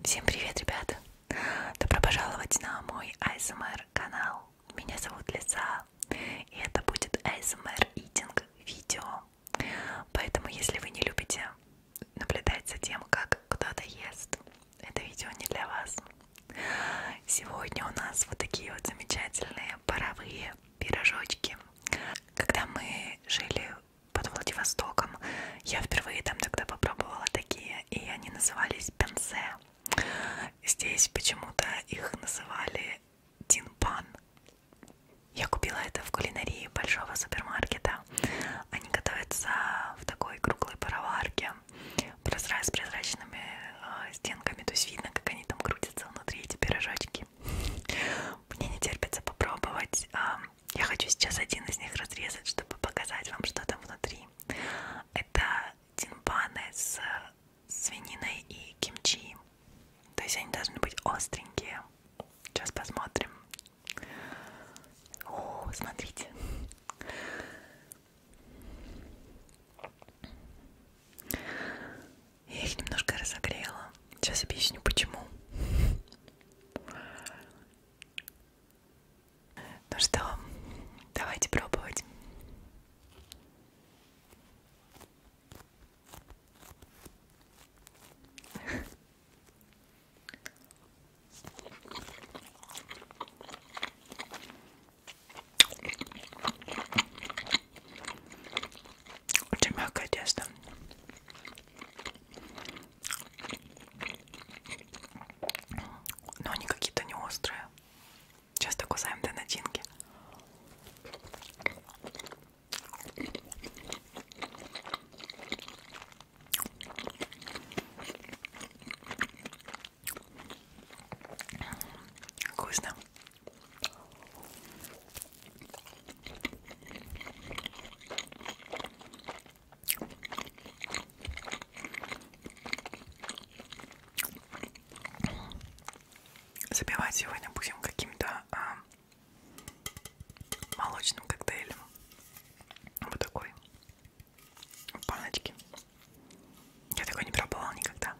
Всем привет, ребята! Добро пожаловать на мой ASMR канал. Меня зовут Лиза, и это будет ASMR Eating видео. Поэтому, если вы не любите наблюдать за тем, как кто-то ест, это видео не для вас. Сегодня у нас вот такие вот замечательные паровые пирожочки. Когда мы жили под Владивостоком. Я впервые там тогда попробовала такие, и они назывались пенсе. Здесь почему-то их называли тинпан. Я купила это в кулинарии большого супермаркета. Они готовятся в такой круглой пароварке с прозрачными а, стенками. То есть видно, как они там крутятся внутри, эти пирожочки. Мне не терпится попробовать. Я хочу сейчас один из них разрезать, чтобы показать вам, что там внутри. Это тимпаны с свининой и кимчи. То есть они должны быть остренькие. Сейчас посмотрим. О, смотрите. Я их немножко разогрела. Сейчас объясню почему. Ну что, давайте пробовать. Очень мягкое тесто. Но они какие-то не острые. Часто кусаем до начинки. Вкусно. Забивать сегодня будем каким-то а, молочным коктейлем. Вот такой. В баночке. Я такой не пробовала никогда.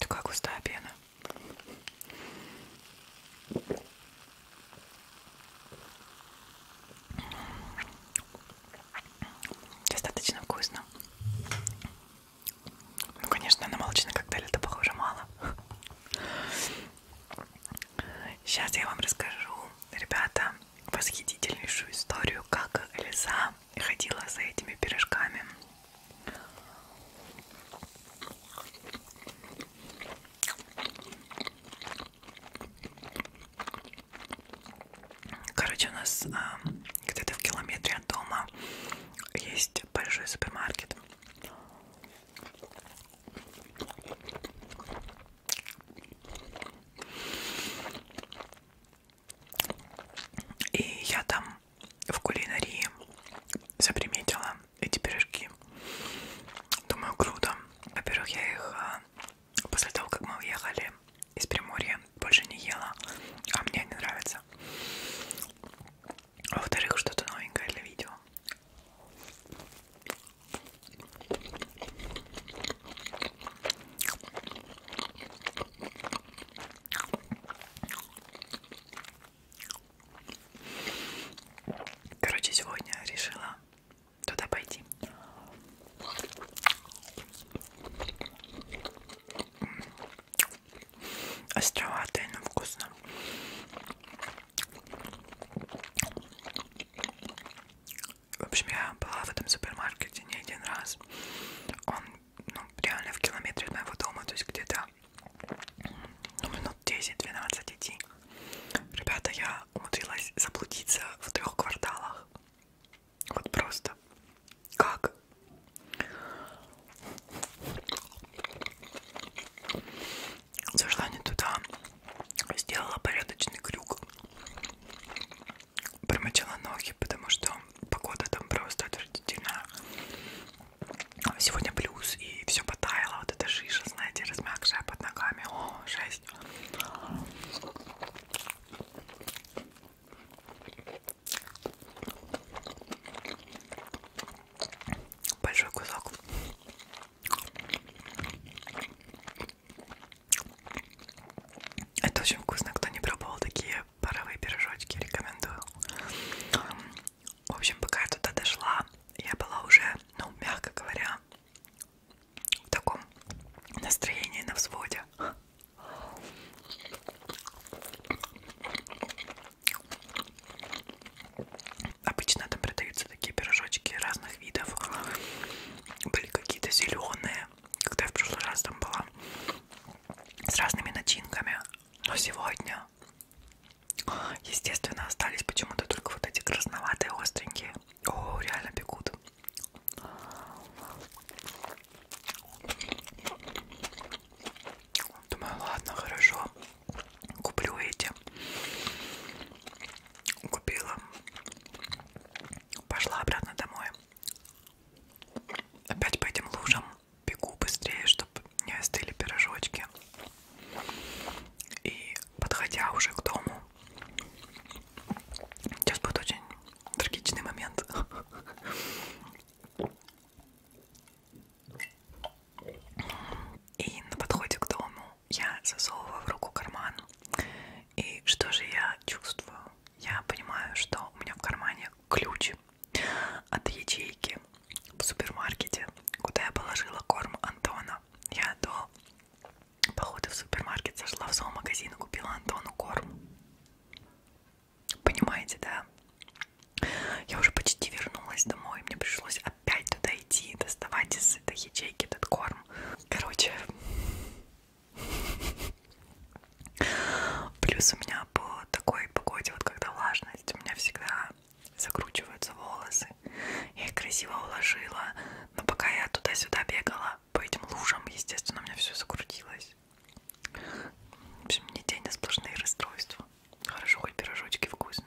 Такая густая пена. Достаточно вкусно. Ну, конечно, на молочный коктейль это похоже мало. Сейчас я вам расскажу, ребята, восхитительнейшую историю, как Лиза ходила за этими пирожками. Короче, у нас а, где-то в километре от дома есть большой супермаркет. И я там в кулинарии заприметила эти пирожки. Думаю, круто. Во-первых, я их а, после того, как мы уехали из Приморья, больше не ела, а мне не нравится. А во-вторых, что-то новенькое для видео. Короче, сегодня решила туда пойти островатое, но вкусно. В общем, я была в этом супермаркете не один раз. Он ну, реально в километре от моего дома, то есть где-то ну, минут 10-12 идти. Ребята, я умудрилась заблудиться в трех кварталах. Вот просто. Как? Зашла не туда. Сделала порядочный крюк. Промочила ноги, потому что погода там просто отвратительная. А сегодня плюс, и все потаяло. Вот эта шиша, знаете, размягшая под ногами. О, жесть. Большой кусок. Это очень вкусно. Кто не пробовал такие паровые пирожочки, рекомендую. В общем, пока я туда дошла, я была уже, ну, мягко говоря, в таком настроении на взводе. Обычно там продаются такие пирожочки разных видов. Были какие-то зеленые, когда я в прошлый раз там была, с разными начинками. Но сегодня, естественно, остались почему-то только вот эти красноватые, остренькие. О, реально пекут. Думаю, ладно, хорошо. Куплю эти. Купила. Пошла обратно домой. Опять по этим лужам бегу быстрее, чтобы не остыли пирожочки. И подходя уже к дому, сейчас будет очень трагичный момент. И на подходе к дому я засовываю в руку карман. И что же я чувствую? Я понимаю, что у меня в кармане ключ от ячейки в супермаркете, куда я положила корм Антона. Я до Походу в супермаркет зашла в зоомагазин и купила Антону корм. Понимаете, да? Я уже почти вернулась домой, мне пришлось опять туда идти, доставать из этой ячейки этот корм. Короче, плюс у меня по такой погоде, вот когда влажность, у меня всегда закручиваются волосы. Я их красиво уложила, но пока я туда-сюда бегала, по этим лужам, естественно, у меня все закрутилось. В общем, мне день на сплошные расстройства. Хорошо, хоть пирожочки вкусные.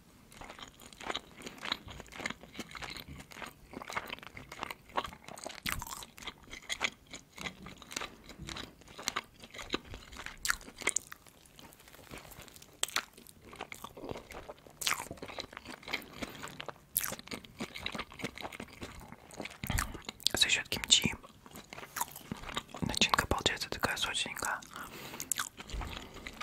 За счет кимчи начинка получается такая сочненькая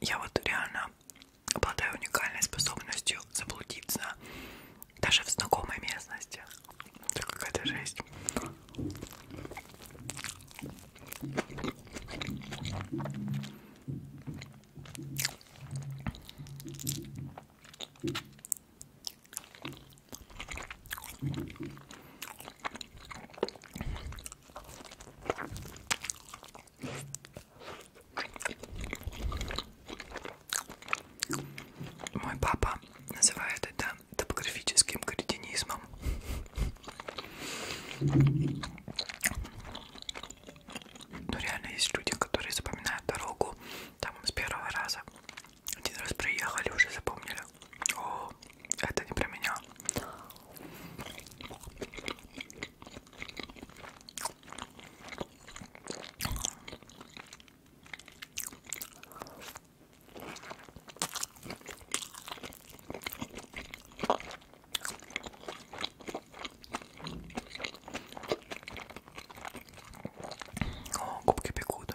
Я вот реально обладаю уникальной способностью заблудиться даже в знакомой местности. Это какая-то жесть. Мой папа называет это топографическим кретинизмом. Но реально есть люди, которые запоминают дорогу там с первого раза. Один раз приехали, уже запомнили. О, читал. Это не про меня. О, губки пекут.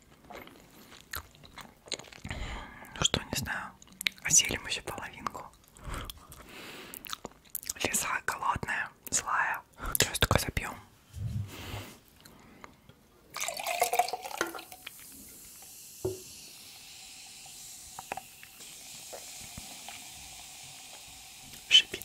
Ну что, не знаю, оселим еще половинку. Лиса голодная, злая. Сейчас только запьем. Шипит.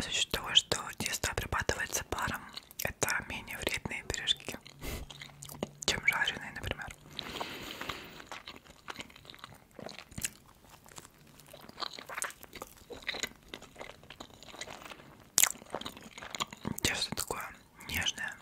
За счет того, что тесто обрабатывается паром, это менее вредные пирожки, чем жареные, например. Тесто такое нежное.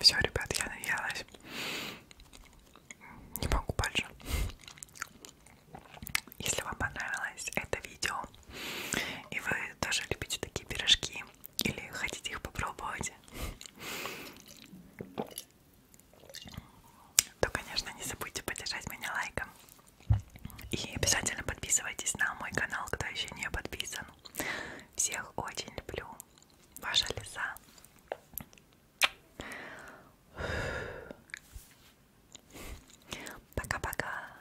Все, ребят, я наелась. Не могу больше. Если вам понравилось это видео и вы тоже любите такие пирожки, или хотите их попробовать? То, конечно, не забудьте поддержать меня лайком. И обязательно подписывайтесь на мой канал, кто еще не подписан. Всех очень люблю. Ваша Лиза. Пока-пока.